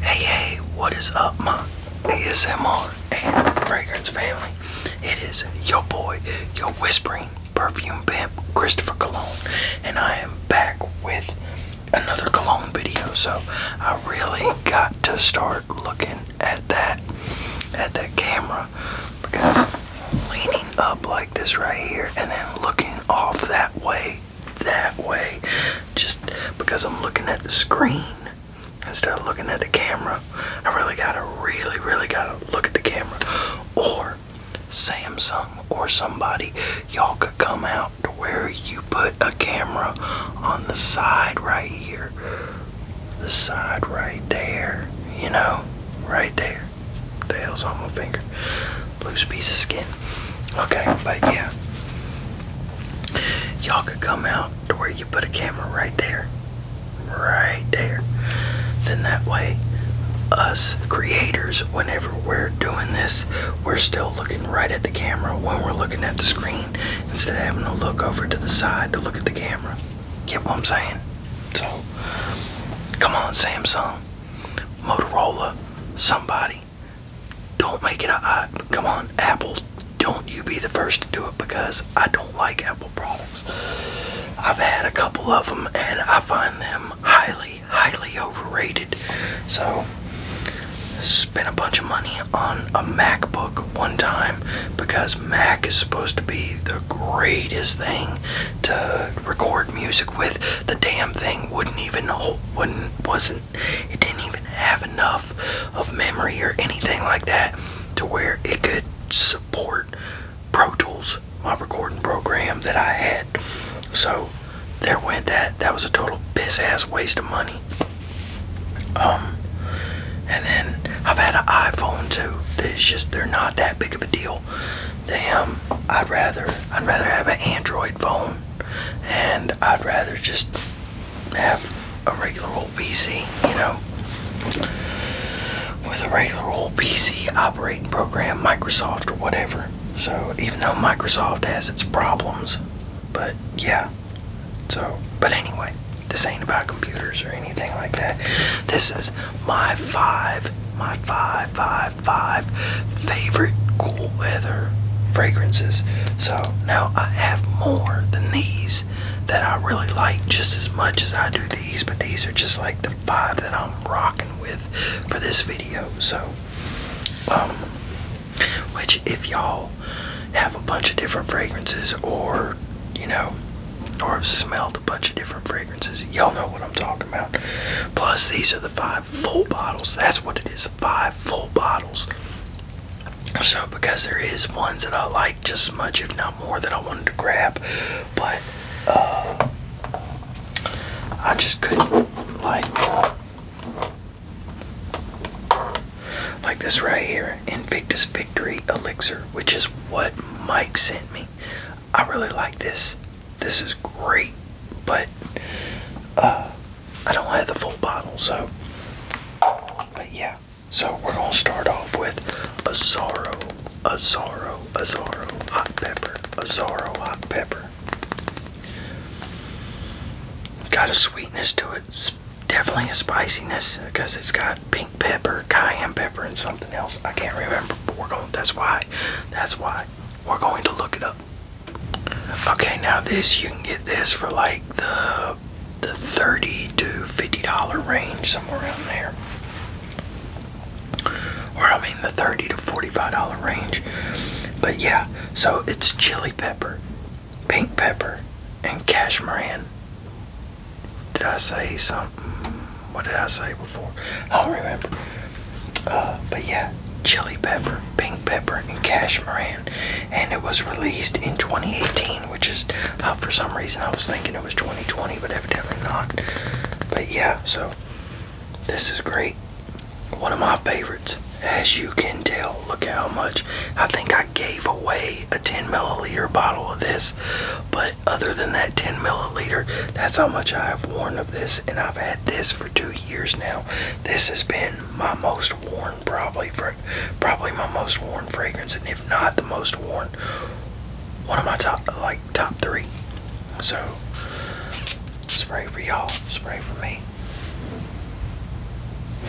Hey, hey, what is up, my ASMR and fragrance family? It is your boy, your whispering perfume pimp, Christopher Cologne, and I am back with another cologne video. So I really got to start looking at that, at that camera, because leaning up like this right here and then looking off that way that way just because I'm looking at the screen instead of looking at the camera. I really gotta, really, really gotta look at the camera. Or Samsung or somebody, y'all could come out to where you put a camera on the side right here. The side right there, you know, right there. The hell's on my finger loose piece of skin. Okay, but yeah. Y'all could come out to where you put a camera right there. Right there. Then that way, us creators, whenever we're doing this, we're still looking right at the camera when we're looking at the screen instead of having to look over to the side to look at the camera. Get what I'm saying? So, come on, Samsung, Motorola, somebody. Don't make it. I, come on, Apple. Don't you be the first to do it because I don't like Apple products. I've had a couple of them and I find them highly, highly overrated. So, spent a bunch of money on a MacBook one time because Mac is supposed to be the greatest thing to record music with, the damn thing wouldn't even hold, wouldn't wasn't it didn't even have enough of memory or anything like that to where it could support Pro Tools, my recording program that I had. So there went that. That was a total piss ass waste of money. Um, and then I've had an iPhone too. It's just they're not that big of a deal damn i'd rather i'd rather have an android phone and i'd rather just have a regular old pc you know with a regular old pc operating program microsoft or whatever so even though microsoft has its problems but yeah so but anyway this ain't about computers or anything like that this is my five my five Five, five favorite cool weather fragrances. So now I have more than these that I really like just as much as I do these, but these are just like the five that I'm rocking with for this video. So, um, which if y'all have a bunch of different fragrances or you know, or have smelled a bunch of different fragrances, y'all know what I'm talking Plus, these are the five full bottles. That's what it is five full bottles. So, because there is ones that I like just as much, if not more, that I wanted to grab, but uh, I just couldn't like. Like this right here, Invictus Victory Elixir, which is what Mike sent me. I really like this. This is great, but uh, I don't have the full bottle, so. But yeah, so we're gonna start off with Azaro, Azaro, Azaro hot pepper, Azaro hot pepper. Got a sweetness to it. definitely a spiciness because it's got pink pepper, cayenne pepper, and something else. I can't remember, but we're going. That's why. That's why we're going to look it up. Okay, now this you can get this for like the the 30 to 50 dollar range somewhere around there. Or I mean the 30 to 45 dollar range. But yeah, so it's chili pepper, pink pepper, and cashmeran. Did I say some what did I say before? I don't remember. Uh, but yeah, chili pepper, pink pepper, and cashmeran, and it was released in 2018, which is uh, for some reason I was thinking it was 2020, but evidently not. But yeah, so this is great. One of my favorites, as you can tell. Look how much I think I gave away a 10 milliliter bottle of this but other than that 10 milliliter, that's how much I have worn of this. And I've had this for two years now. This has been my most worn, probably, probably my most worn fragrance. And if not the most worn, one of my top, like, top three. So, spray for y'all, spray for me.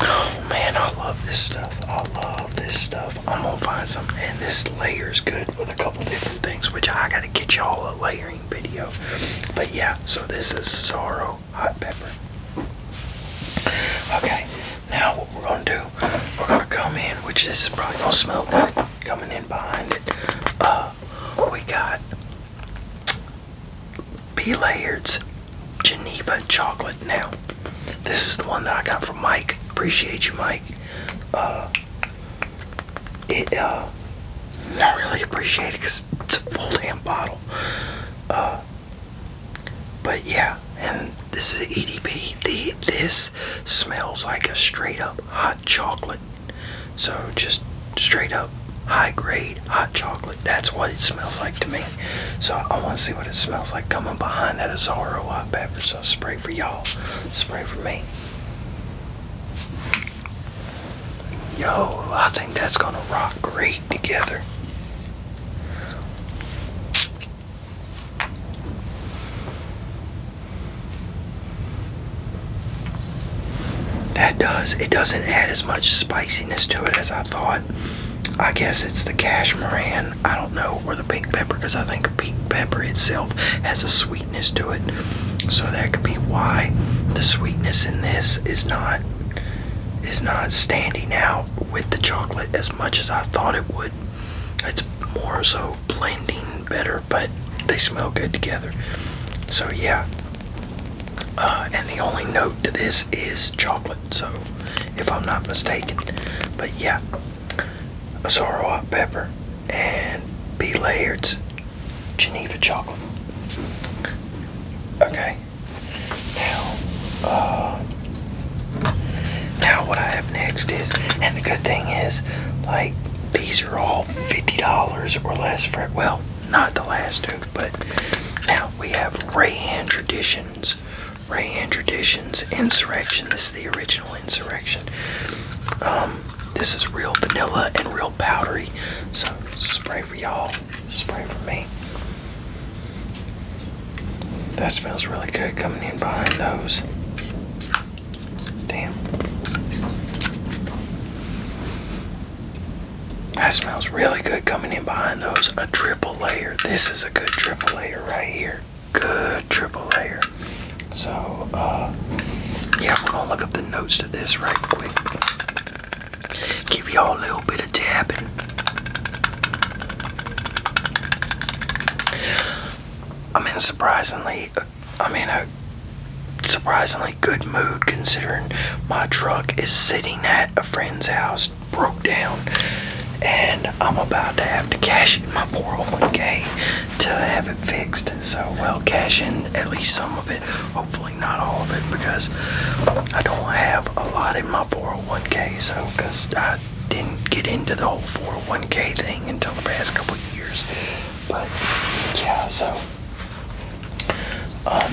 Oh man, I love this stuff. I love this stuff. I'm gonna find some, and this layer's good with a couple different things, which I gotta get y'all a layering video. But yeah, so this is Zorro hot pepper. Okay, now what we're gonna do, we're gonna come in, which this is probably gonna smell good coming in behind it. Uh, we got be Layard's Geneva chocolate. Now, this is the one that I got from Mike. Appreciate you, Mike. Uh, it uh I really appreciate it because it's a full hand bottle. Uh, but yeah, and this is EDP. The this smells like a straight up hot chocolate. So just straight up high grade hot chocolate. That's what it smells like to me. So I want to see what it smells like coming behind that Azaro hot pepper. So spray for y'all, spray for me. Yo, I think that's gonna rock great together. That does, it doesn't add as much spiciness to it as I thought. I guess it's the cashmere I don't know, or the pink pepper, because I think pink pepper itself has a sweetness to it. So that could be why the sweetness in this is not is not standing out with the chocolate as much as I thought it would. It's more so blending better, but they smell good together. So yeah. Uh, and the only note to this is chocolate, so if I'm not mistaken. But yeah, Asaro hot pepper, and B Layard's Geneva chocolate. Okay. Now, uh, now what I have next is, and the good thing is, like these are all fifty dollars or less for. it. Well, not the last two, but now we have Ray Rayan Traditions. Ray Rayan Traditions Insurrection. This is the original insurrection. Um, this is real vanilla and real powdery. So spray for y'all, spray for me. That smells really good coming in behind those. Damn. That smells really good coming in behind those. A triple layer. This is a good triple layer right here good triple layer. So, uh, yeah, we're gonna look up the notes to this right quick. Give y'all a little bit of tapping. I mean, surprisingly, I'm uh, in a surprisingly good mood considering my truck is sitting at a friend's house, broke down and I'm about to have to cash in my 401k to have it fixed. So, well, cash in at least some of it, hopefully not all of it, because I don't have a lot in my 401k. So, because I didn't get into the whole 401k thing until the past couple years, but yeah, so um,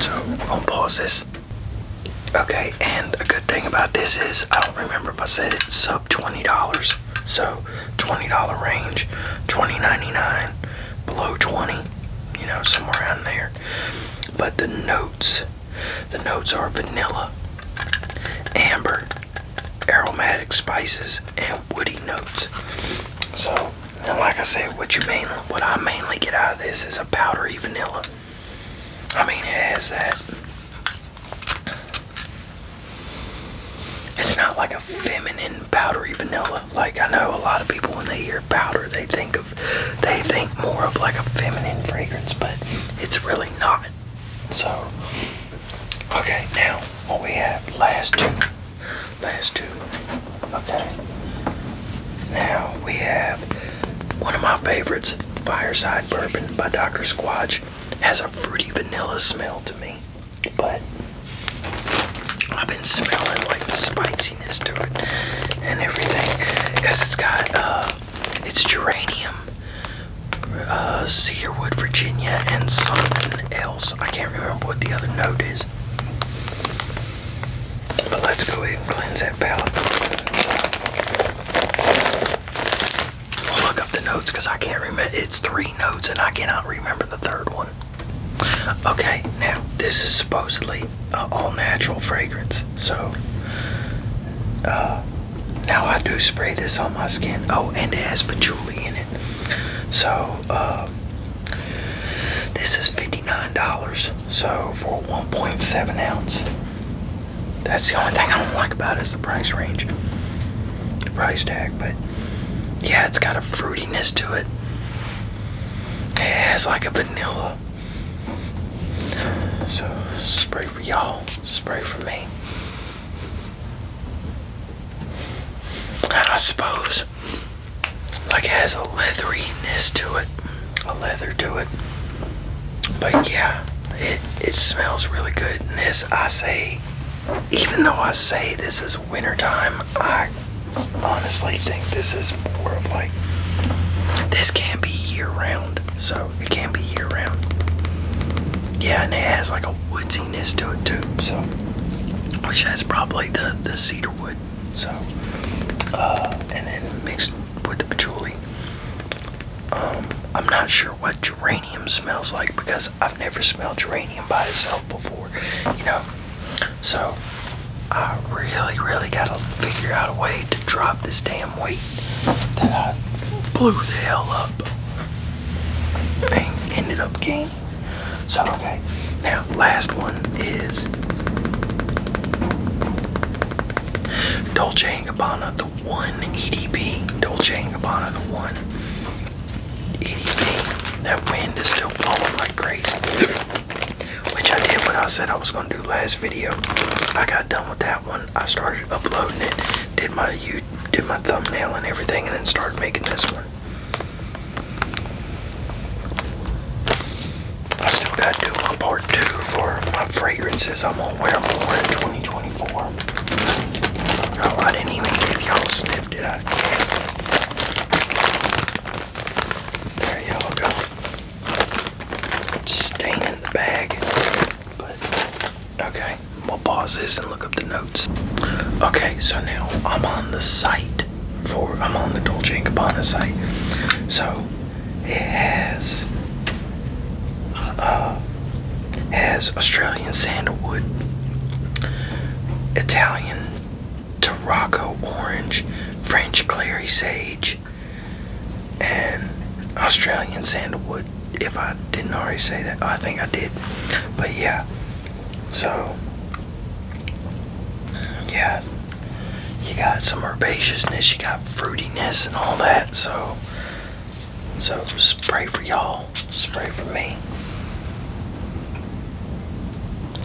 so i will going pause this. Okay, and a good thing about this is I don't remember if I said it's sub $20. So $20 range, $20.99, below 20, you know, somewhere around there. But the notes, the notes are vanilla, amber, aromatic spices, and woody notes. So, like I said, what you mainly, what I mainly get out of this is a powdery vanilla. I mean, it has that. It's not like a feminine powdery vanilla. Like I know a lot of people when they hear powder, they think of, they think more of like a feminine fragrance, but it's really not. So, okay, now what we have last two, last two. Okay, now we have one of my favorites, Fireside Bourbon by Dr. Squatch, has a fruity vanilla smell to me, but I've been smelling like the spiciness to it and everything because it's got uh, it's geranium, uh, cedarwood, Virginia, and something else. I can't remember what the other note is. But let's go ahead and cleanse that palate. I'll look up the notes because I can't remember. It's three notes and I cannot remember the third one. Okay, now this is supposedly all natural fragrance. So uh, now I do spray this on my skin. Oh, and it has patchouli in it. So uh, this is $59. So for 1.7 ounce, that's the only thing I don't like about it is the price range, the price tag. But yeah, it's got a fruitiness to it. It has like a vanilla. So spray for y'all, spray for me. I suppose. Like it has a leatheriness to it a leather to it. But yeah, it it smells really good. And this I say even though I say this is wintertime, I honestly think this is more of like this can be year round. So it can be year round. Yeah, and it has like a woodsiness to it too, so which has probably the, the cedar wood. So uh and then mixed with the patchouli. Um, I'm not sure what geranium smells like because I've never smelled geranium by itself before, you know. So I really, really gotta figure out a way to drop this damn weight that I blew the hell up and ended up gaining. So okay, now last one is Dolce & Gabbana The One EDP. Dolce & Gabbana The One EDP. That wind is still blowing like crazy. Which I did what I said I was going to do last video. I got done with that one. I started uploading it. Did my you did my thumbnail and everything and then started making this one. I still got to do my part two for my fragrances. I'm gonna wear more in 2024. Oh, I didn't even give y'all a sniff, did I? There you go. Stain in the bag. But okay, we'll pause this and look up the notes. Okay, so now I'm on the site for I'm on the Dolce & Gabbana site. So it has uh, has Australian sandalwood, Italian Tarocco orange, French clary sage, and Australian sandalwood. If I didn't already say that, I think I did. But yeah, so yeah, you got some herbaceousness, you got fruitiness and all that. So, so spray for y'all, spray for me.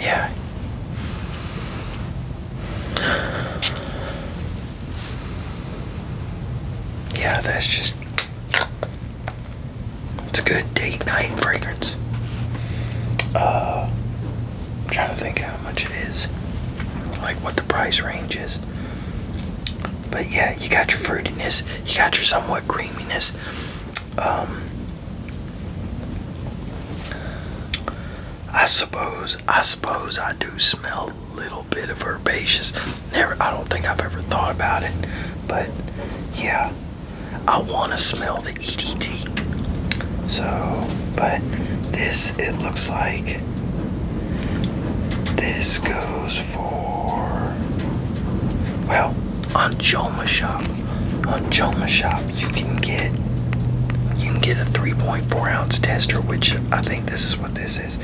Yeah. Yeah, that's just. It's a good date night fragrance. Uh, I'm trying to think how much it is, like what the price range is. But yeah, you got your fruitiness, you got your somewhat creaminess. Um, I suppose, I suppose I do smell a little bit of herbaceous. Never, I don't think I've ever thought about it, but yeah, I want to smell the So, but this, it looks like this goes for, well, on Joma Shop, on Joma Shop, you can get, you can get a 3.4 ounce tester, which I think this is what this is.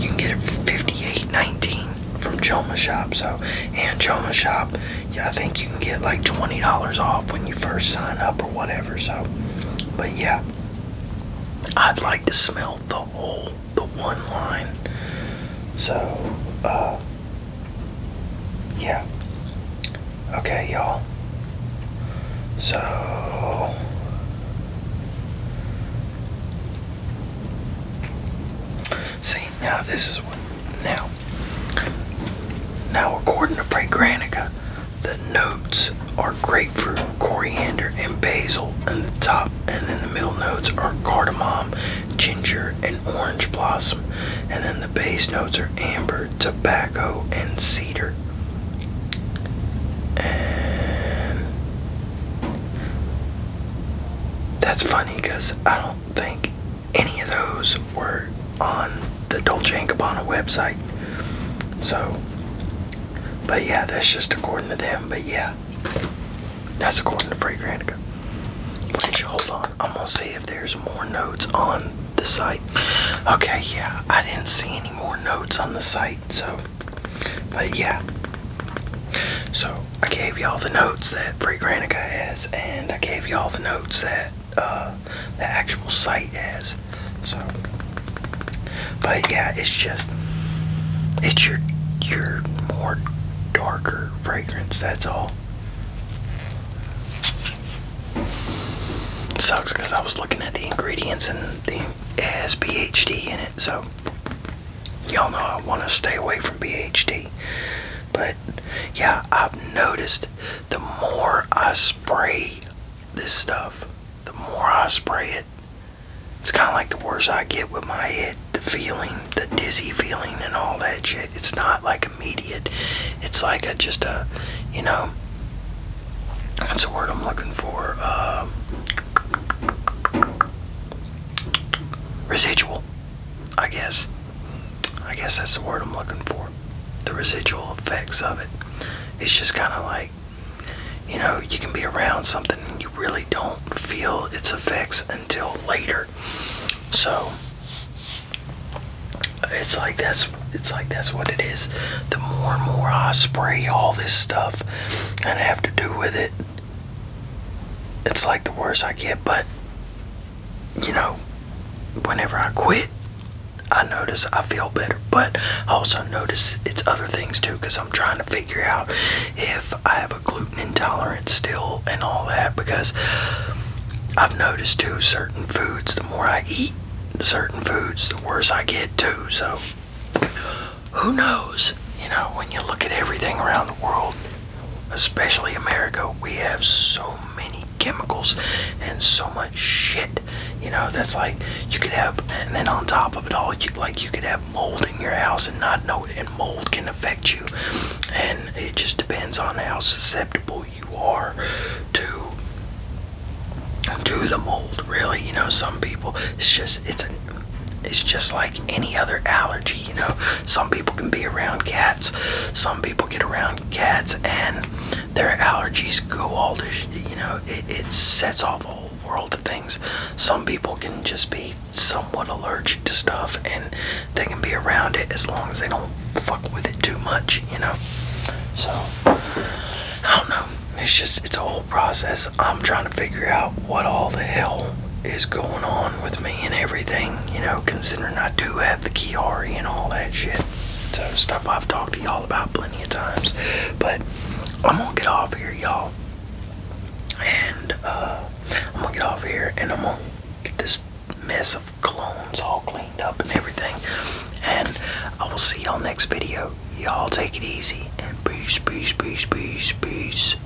You can get it for 58.19 from Joma Shop. So, and Joma Shop yeah, I think you can get like $20 off when you first sign up or whatever. So, but yeah, I'd like to smell the whole, the one line. So, uh, yeah. Okay, y'all. So, see, now this is what now, now according to Frank Granica, the notes are grapefruit, coriander, and basil in the top, and then the middle notes are cardamom, ginger, and orange blossom, and then the base notes are amber, tobacco, and cedar. And that's funny because I don't think any of those were on the Dolce & Gabbana website. So, but yeah, that's just according to them. But yeah, that's according to Fragrantica. Wait, hold on. I'm gonna see if there's more notes on the site. Okay, yeah, I didn't see any more notes on the site. So, but yeah. So I gave y'all the notes that Fragrantica has, and I gave y'all the notes that the actual site has, So, but yeah, it's just it's your your more darker fragrance. That's all. sucks because I was looking at the ingredients and the it has BHD in it, so y'all know I want to stay away from BHD. But yeah, I've noticed the more I spray this stuff, the more I spray it, it's kind of like the worse I get with my head, the feeling, the dizzy feeling, and all that shit. It's not like immediate. It's like a just a, you know, what's the word I'm looking for? Um, residual, I guess. I guess that's the word I'm looking for. The residual effects of it. It's just kind of like, you know, you can be around something and you really don't feel its effects until later. So it's like that's it's like that's what it is. The more and more I spray all this stuff and I have to do with it, it's like the worse I get. But you know, whenever I quit, I notice I feel better, but I also notice it's other things too because I'm trying to figure out if I have a gluten intolerance still and all that because I've noticed too certain foods, the more I eat certain foods, the worse I get too. So who knows? You know, when you look at everything around the world, especially America, we have so many chemicals and so much shit. You know, that's like you could have, and then on top of it all, you like you could have mold in your house and not know it, and mold can affect you. And it just depends on how susceptible you are to to the mold. Really, you know, some people it's just it's a, it's just like any other allergy you know some people can be around cats some people get around cats and their allergies go all to you know it, it sets off a whole world of things some people can just be somewhat allergic to stuff and they can be around it as long as they don't fuck with it too much you know so i don't know it's just it's a whole process i'm trying to figure out what all the hell is going on with me and everything, you know, considering I do have the Kiari and all that shit. So, stuff I've talked to y'all about plenty of times. But I'm gonna get off here, y'all. And, uh, I'm gonna get off here and I'm gonna get this mess of clones all cleaned up and everything. And I will see y'all next video. Y'all take it easy and peace, peace, peace, peace, peace.